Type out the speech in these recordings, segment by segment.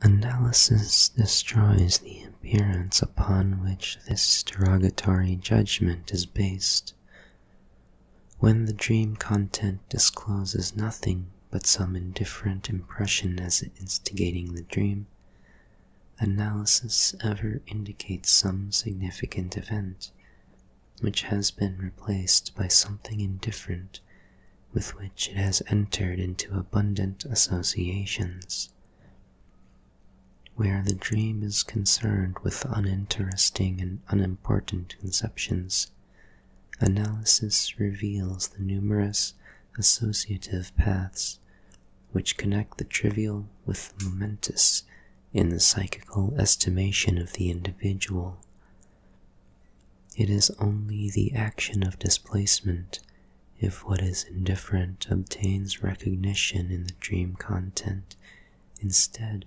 Analysis destroys the appearance upon which this derogatory judgment is based. When the dream content discloses nothing but some indifferent impression as instigating the dream, analysis ever indicates some significant event which has been replaced by something indifferent with which it has entered into abundant associations. Where the dream is concerned with uninteresting and unimportant conceptions, analysis reveals the numerous associative paths which connect the trivial with the momentous in the psychical estimation of the individual, it is only the action of displacement if what is indifferent obtains recognition in the dream content instead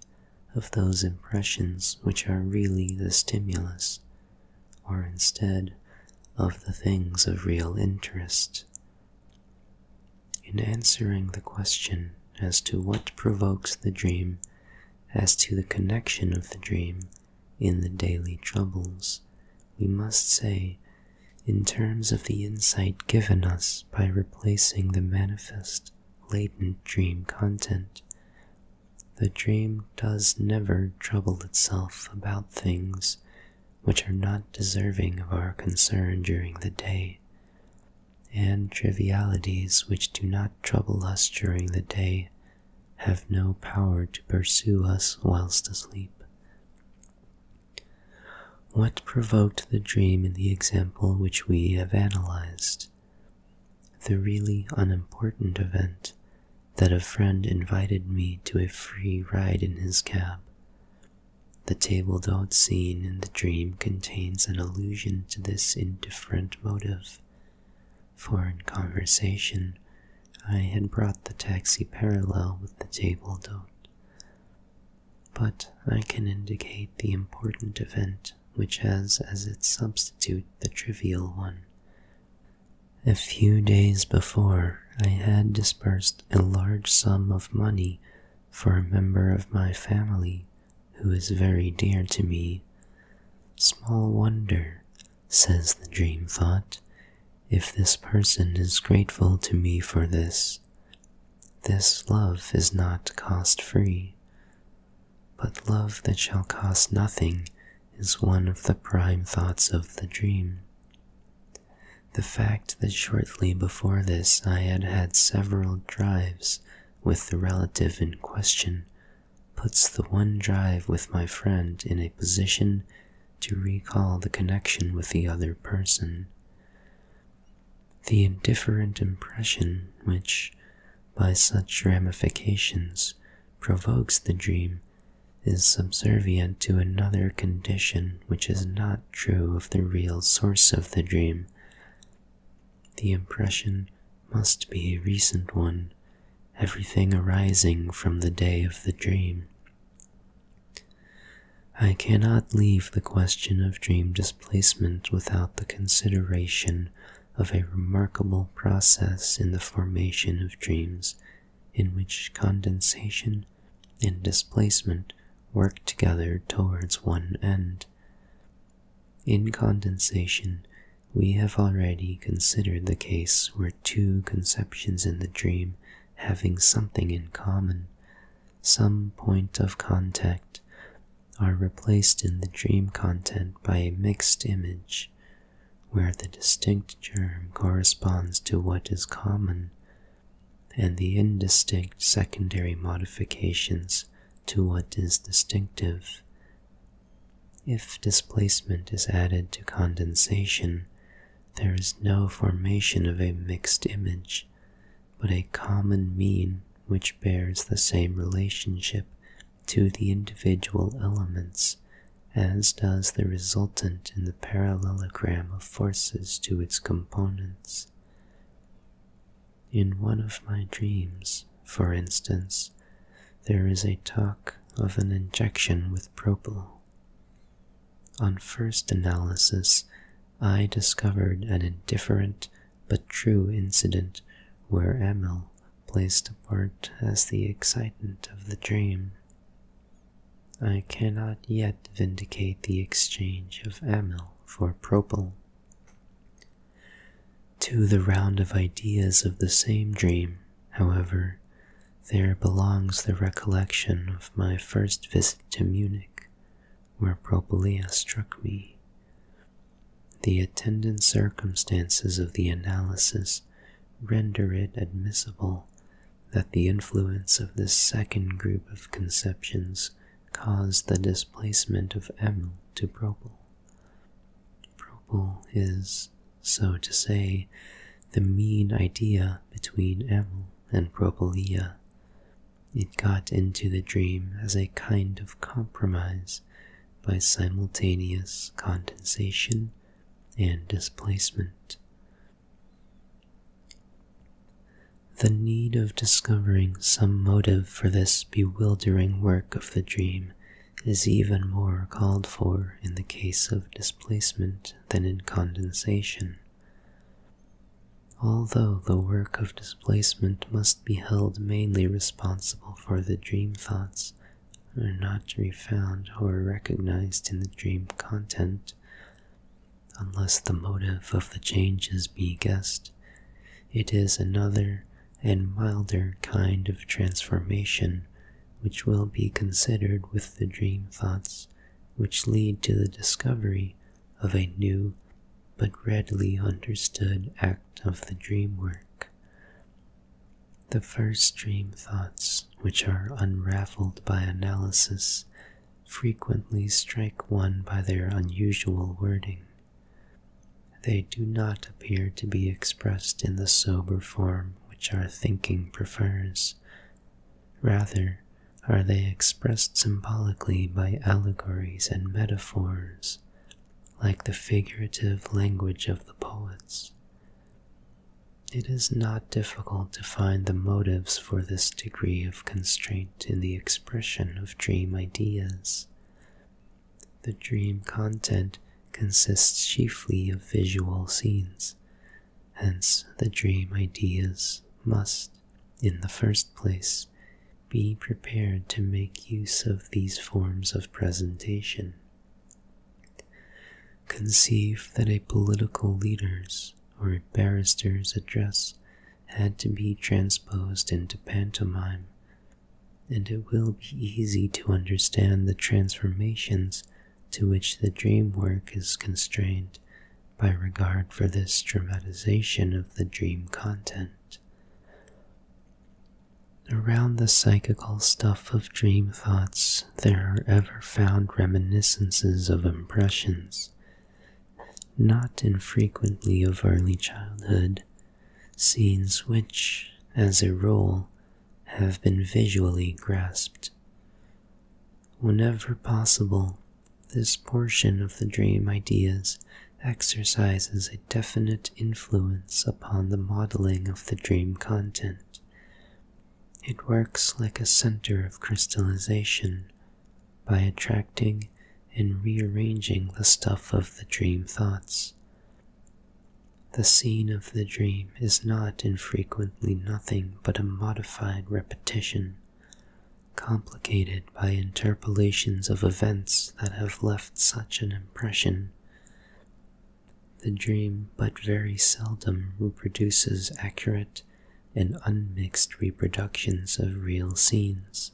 of those impressions which are really the stimulus, or instead of the things of real interest. In answering the question as to what provokes the dream, as to the connection of the dream in the daily troubles, we must say, in terms of the insight given us by replacing the manifest, latent dream content, the dream does never trouble itself about things which are not deserving of our concern during the day, and trivialities which do not trouble us during the day have no power to pursue us whilst asleep. What provoked the dream in the example which we have analyzed? The really unimportant event that a friend invited me to a free ride in his cab. The table d'hote scene in the dream contains an allusion to this indifferent motive for in conversation, I had brought the taxi parallel with the table d'hote. But I can indicate the important event which has as its substitute the trivial one. A few days before, I had disbursed a large sum of money for a member of my family who is very dear to me. Small wonder says the dream thought, if this person is grateful to me for this, this love is not cost free. But love that shall cost nothing is one of the prime thoughts of the dream. The fact that shortly before this I had had several drives with the relative in question puts the one drive with my friend in a position to recall the connection with the other person. The indifferent impression which, by such ramifications, provokes the dream is subservient to another condition which is not true of the real source of the dream. The impression must be a recent one, everything arising from the day of the dream. I cannot leave the question of dream displacement without the consideration of a remarkable process in the formation of dreams in which condensation and displacement work together towards one end. In condensation, we have already considered the case where two conceptions in the dream having something in common, some point of contact, are replaced in the dream content by a mixed image, where the distinct germ corresponds to what is common, and the indistinct secondary modifications to what is distinctive, if displacement is added to condensation, there is no formation of a mixed image, but a common mean which bears the same relationship to the individual elements as does the resultant in the parallelogram of forces to its components. In one of my dreams, for instance, there is a talk of an injection with propyl. On first analysis, I discovered an indifferent but true incident where amyl placed a part as the excitant of the dream. I cannot yet vindicate the exchange of amyl for propyl. To the round of ideas of the same dream, however, there belongs the recollection of my first visit to Munich, where Propylaea struck me. The attendant circumstances of the analysis render it admissible that the influence of this second group of conceptions caused the displacement of Emil to Propyl. Propyl is, so to say, the mean idea between Amyl and Propylia. It got into the dream as a kind of compromise by simultaneous condensation and displacement. The need of discovering some motive for this bewildering work of the dream is even more called for in the case of displacement than in condensation. Although the work of displacement must be held mainly responsible for the dream thoughts, are not to be found or recognized in the dream content, unless the motive of the changes be guessed, it is another and milder kind of transformation which will be considered with the dream thoughts which lead to the discovery of a new but readily understood act of the dream work. The first dream thoughts, which are unraveled by analysis, frequently strike one by their unusual wording they do not appear to be expressed in the sober form which our thinking prefers. Rather, are they expressed symbolically by allegories and metaphors, like the figurative language of the poets? It is not difficult to find the motives for this degree of constraint in the expression of dream ideas. The dream content consists chiefly of visual scenes, hence, the dream ideas must, in the first place, be prepared to make use of these forms of presentation. Conceive that a political leader's or a barrister's address had to be transposed into pantomime and it will be easy to understand the transformations to which the dream work is constrained by regard for this dramatization of the dream content. Around the psychical stuff of dream thoughts, there are ever found reminiscences of impressions, not infrequently of early childhood, scenes which, as a rule, have been visually grasped. Whenever possible, this portion of the dream ideas exercises a definite influence upon the modeling of the dream content. It works like a center of crystallization by attracting in rearranging the stuff of the dream thoughts. The scene of the dream is not infrequently nothing but a modified repetition, complicated by interpolations of events that have left such an impression. The dream but very seldom reproduces accurate and unmixed reproductions of real scenes.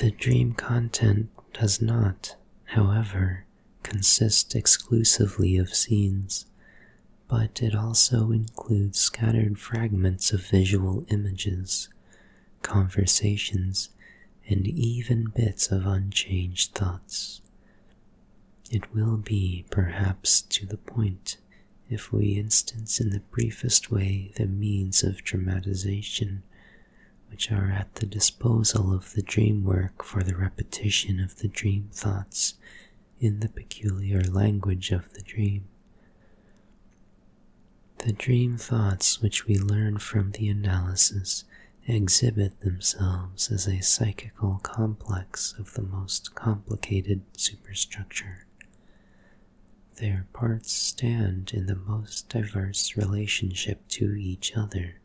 The dream content does not, however, consist exclusively of scenes, but it also includes scattered fragments of visual images, conversations, and even bits of unchanged thoughts. It will be, perhaps, to the point if we instance in the briefest way the means of dramatization which are at the disposal of the dream work for the repetition of the dream thoughts in the peculiar language of the dream. The dream thoughts which we learn from the analysis exhibit themselves as a psychical complex of the most complicated superstructure. Their parts stand in the most diverse relationship to each other.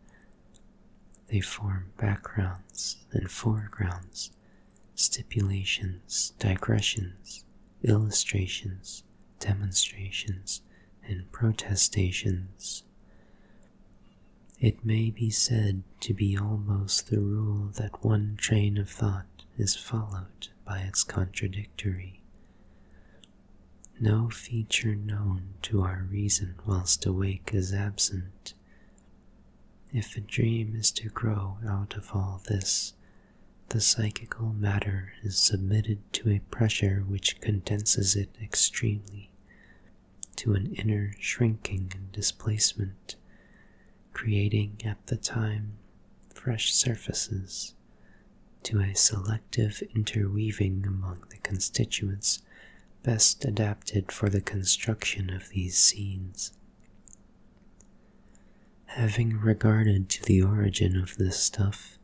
They form backgrounds and foregrounds, stipulations, digressions, illustrations, demonstrations, and protestations. It may be said to be almost the rule that one chain of thought is followed by its contradictory. No feature known to our reason whilst awake is absent. If a dream is to grow out of all this, the psychical matter is submitted to a pressure which condenses it extremely, to an inner shrinking and displacement, creating at the time fresh surfaces to a selective interweaving among the constituents best adapted for the construction of these scenes. Having regarded to the origin of this stuff,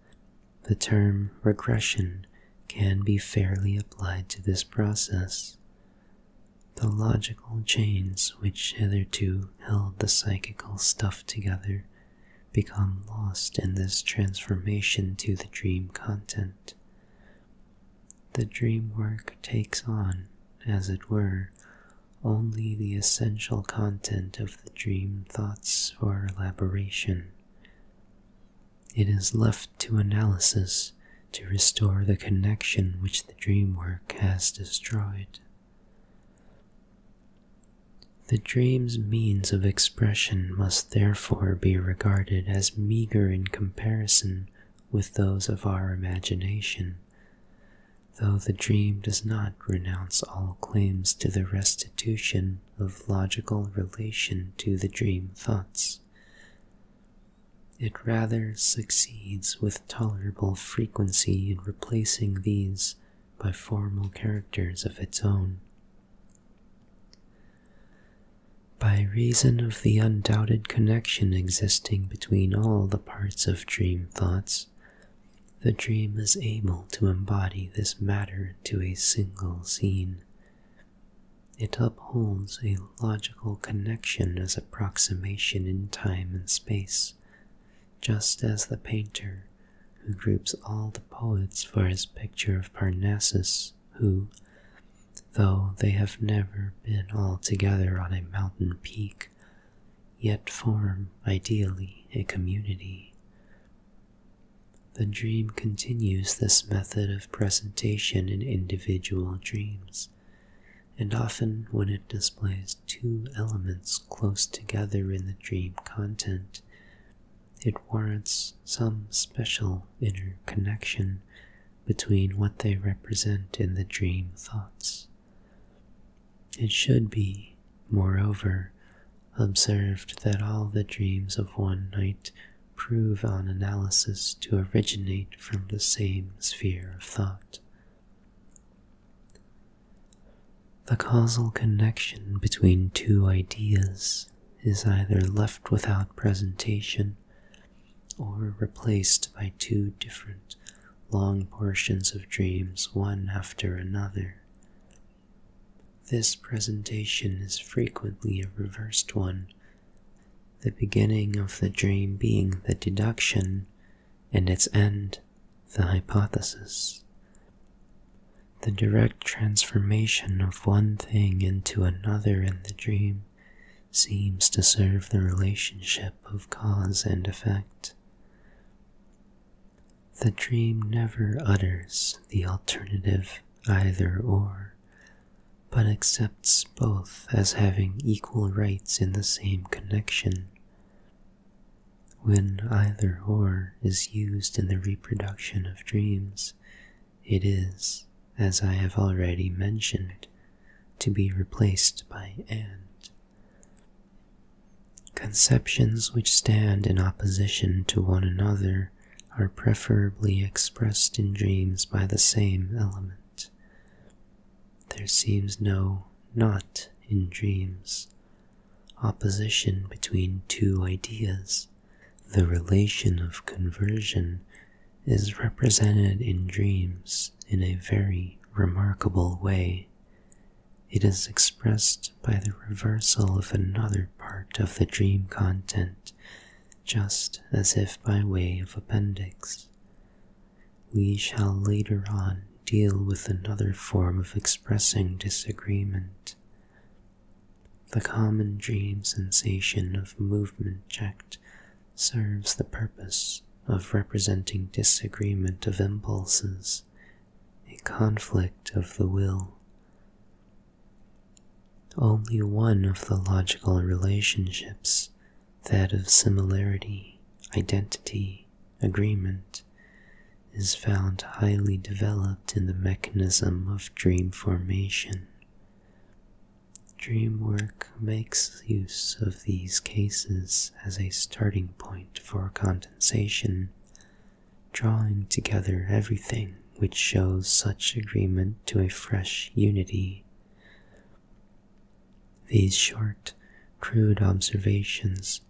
the term regression can be fairly applied to this process. The logical chains which hitherto held the psychical stuff together become lost in this transformation to the dream content. The dream work takes on, as it were, only the essential content of the dream thoughts for elaboration. It is left to analysis to restore the connection which the dream work has destroyed. The dream's means of expression must therefore be regarded as meagre in comparison with those of our imagination, though the dream does not renounce all claims to the restitution of logical relation to the dream thoughts. It rather succeeds with tolerable frequency in replacing these by formal characters of its own. By reason of the undoubted connection existing between all the parts of dream thoughts, the dream is able to embody this matter to a single scene. It upholds a logical connection as approximation in time and space, just as the painter who groups all the poets for his picture of Parnassus, who, though they have never been all together on a mountain peak, yet form ideally a community. The dream continues this method of presentation in individual dreams, and often when it displays two elements close together in the dream content, it warrants some special inner connection between what they represent in the dream thoughts. It should be, moreover, observed that all the dreams of one night prove on analysis to originate from the same sphere of thought. The causal connection between two ideas is either left without presentation or replaced by two different long portions of dreams one after another. This presentation is frequently a reversed one, the beginning of the dream being the deduction in its end, the hypothesis. The direct transformation of one thing into another in the dream seems to serve the relationship of cause and effect. The dream never utters the alternative either or, but accepts both as having equal rights in the same connection. When either or is used in the reproduction of dreams, it is, as I have already mentioned, to be replaced by and. Conceptions which stand in opposition to one another are preferably expressed in dreams by the same element. There seems no knot in dreams, opposition between two ideas. The relation of conversion is represented in dreams in a very remarkable way. It is expressed by the reversal of another part of the dream content, just as if by way of appendix we shall later on deal with another form of expressing disagreement. The common dream sensation of movement checked serves the purpose of representing disagreement of impulses, a conflict of the will. Only one of the logical relationships that of similarity, identity, agreement, is found highly developed in the mechanism of dream formation. Dream work makes use of these cases as a starting point for condensation, drawing together everything which shows such agreement to a fresh unity. These short, crude observations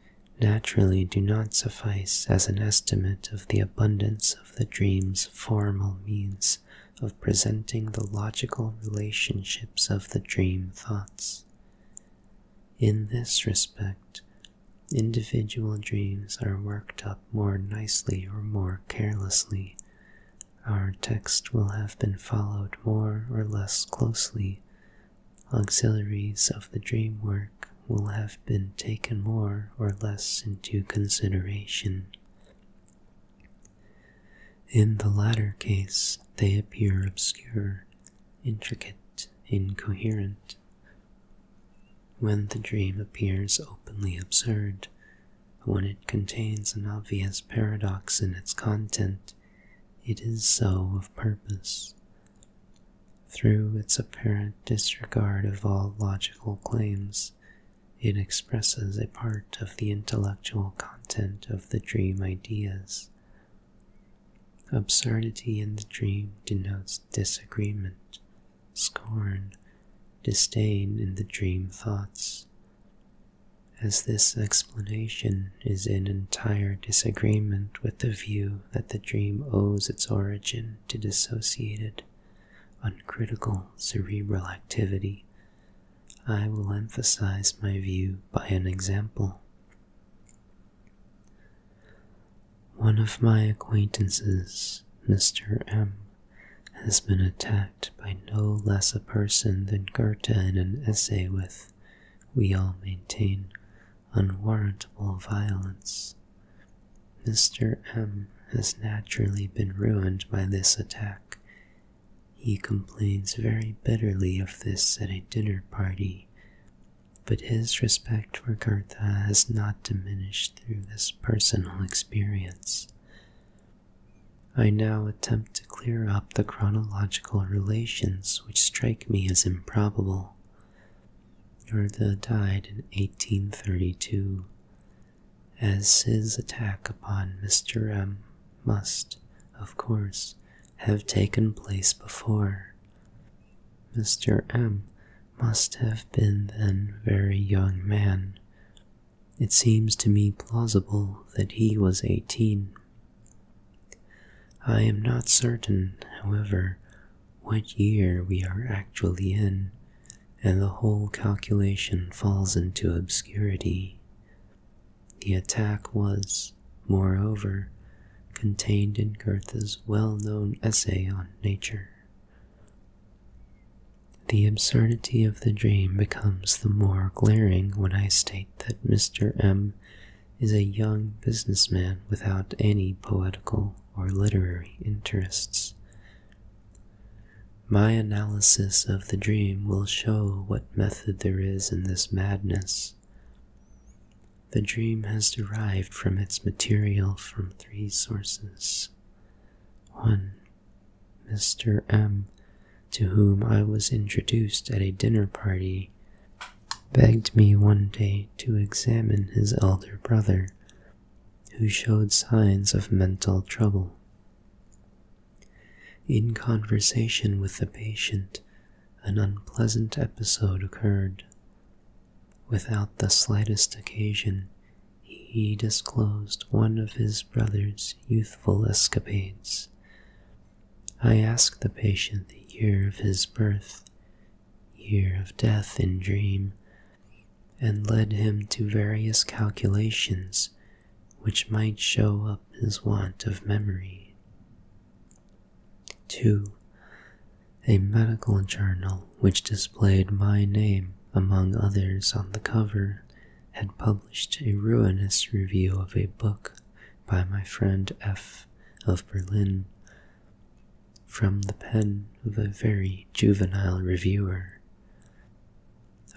naturally do not suffice as an estimate of the abundance of the dream's formal means of presenting the logical relationships of the dream thoughts. In this respect, individual dreams are worked up more nicely or more carelessly, our text will have been followed more or less closely. Auxiliaries of the dream work will have been taken more or less into consideration. In the latter case, they appear obscure, intricate, incoherent. When the dream appears openly absurd, when it contains an obvious paradox in its content, it is so of purpose. Through its apparent disregard of all logical claims, it expresses a part of the intellectual content of the dream ideas. Absurdity in the dream denotes disagreement, scorn, disdain in the dream thoughts as this explanation is in entire disagreement with the view that the dream owes its origin to dissociated, uncritical cerebral activity. I will emphasize my view by an example. One of my acquaintances, Mr. M., has been attacked by no less a person than Goethe in an essay with, we all maintain, unwarrantable violence. Mr. M has naturally been ruined by this attack. He complains very bitterly of this at a dinner party, but his respect for Goethe has not diminished through this personal experience. I now attempt to clear up the chronological relations which strike me as improbable. Goethe died in 1832, as his attack upon Mr. M must, of course, have taken place before. Mr. M must have been then a very young man, it seems to me plausible that he was eighteen. I am not certain, however, what year we are actually in, and the whole calculation falls into obscurity. The attack was, moreover, contained in Goethe's well-known essay on nature. The absurdity of the dream becomes the more glaring when I state that Mr. M is a young businessman without any poetical or literary interests. My analysis of the dream will show what method there is in this madness. The dream has derived from its material from three sources. 1. Mr. M., to whom I was introduced at a dinner party, begged me one day to examine his elder brother, who showed signs of mental trouble. In conversation with the patient, an unpleasant episode occurred. Without the slightest occasion, he disclosed one of his brother's youthful escapades. I asked the patient the year of his birth, year of death in dream, and led him to various calculations which might show up his want of memory. 2. A medical journal which displayed my name among others on the cover had published a ruinous review of a book by my friend F. of Berlin from the pen of a very juvenile reviewer.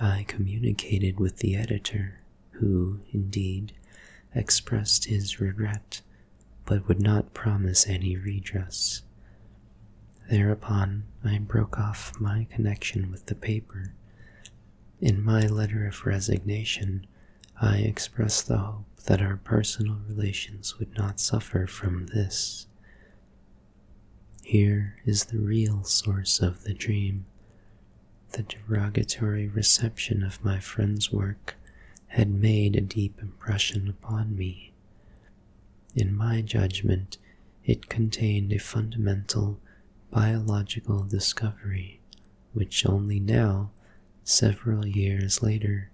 I communicated with the editor, who, indeed, expressed his regret, but would not promise any redress. Thereupon I broke off my connection with the paper in my letter of resignation, I expressed the hope that our personal relations would not suffer from this. Here is the real source of the dream. The derogatory reception of my friend's work had made a deep impression upon me. In my judgment, it contained a fundamental biological discovery, which only now, several years later,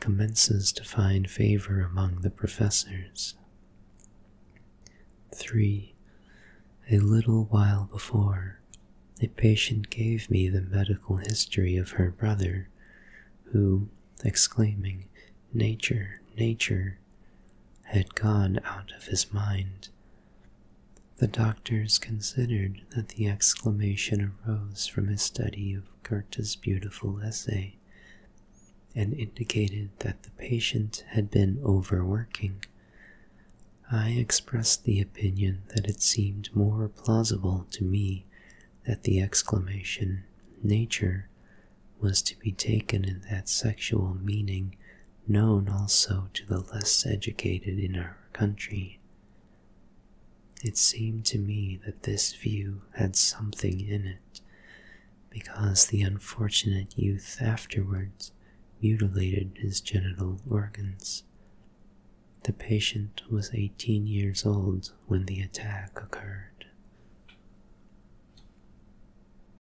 commences to find favor among the professors. 3. A little while before, a patient gave me the medical history of her brother, who, exclaiming, Nature, nature, had gone out of his mind the doctors considered that the exclamation arose from his study of Goethe's beautiful essay and indicated that the patient had been overworking. I expressed the opinion that it seemed more plausible to me that the exclamation, nature, was to be taken in that sexual meaning known also to the less educated in our country. It seemed to me that this view had something in it, because the unfortunate youth afterwards mutilated his genital organs. The patient was 18 years old when the attack occurred.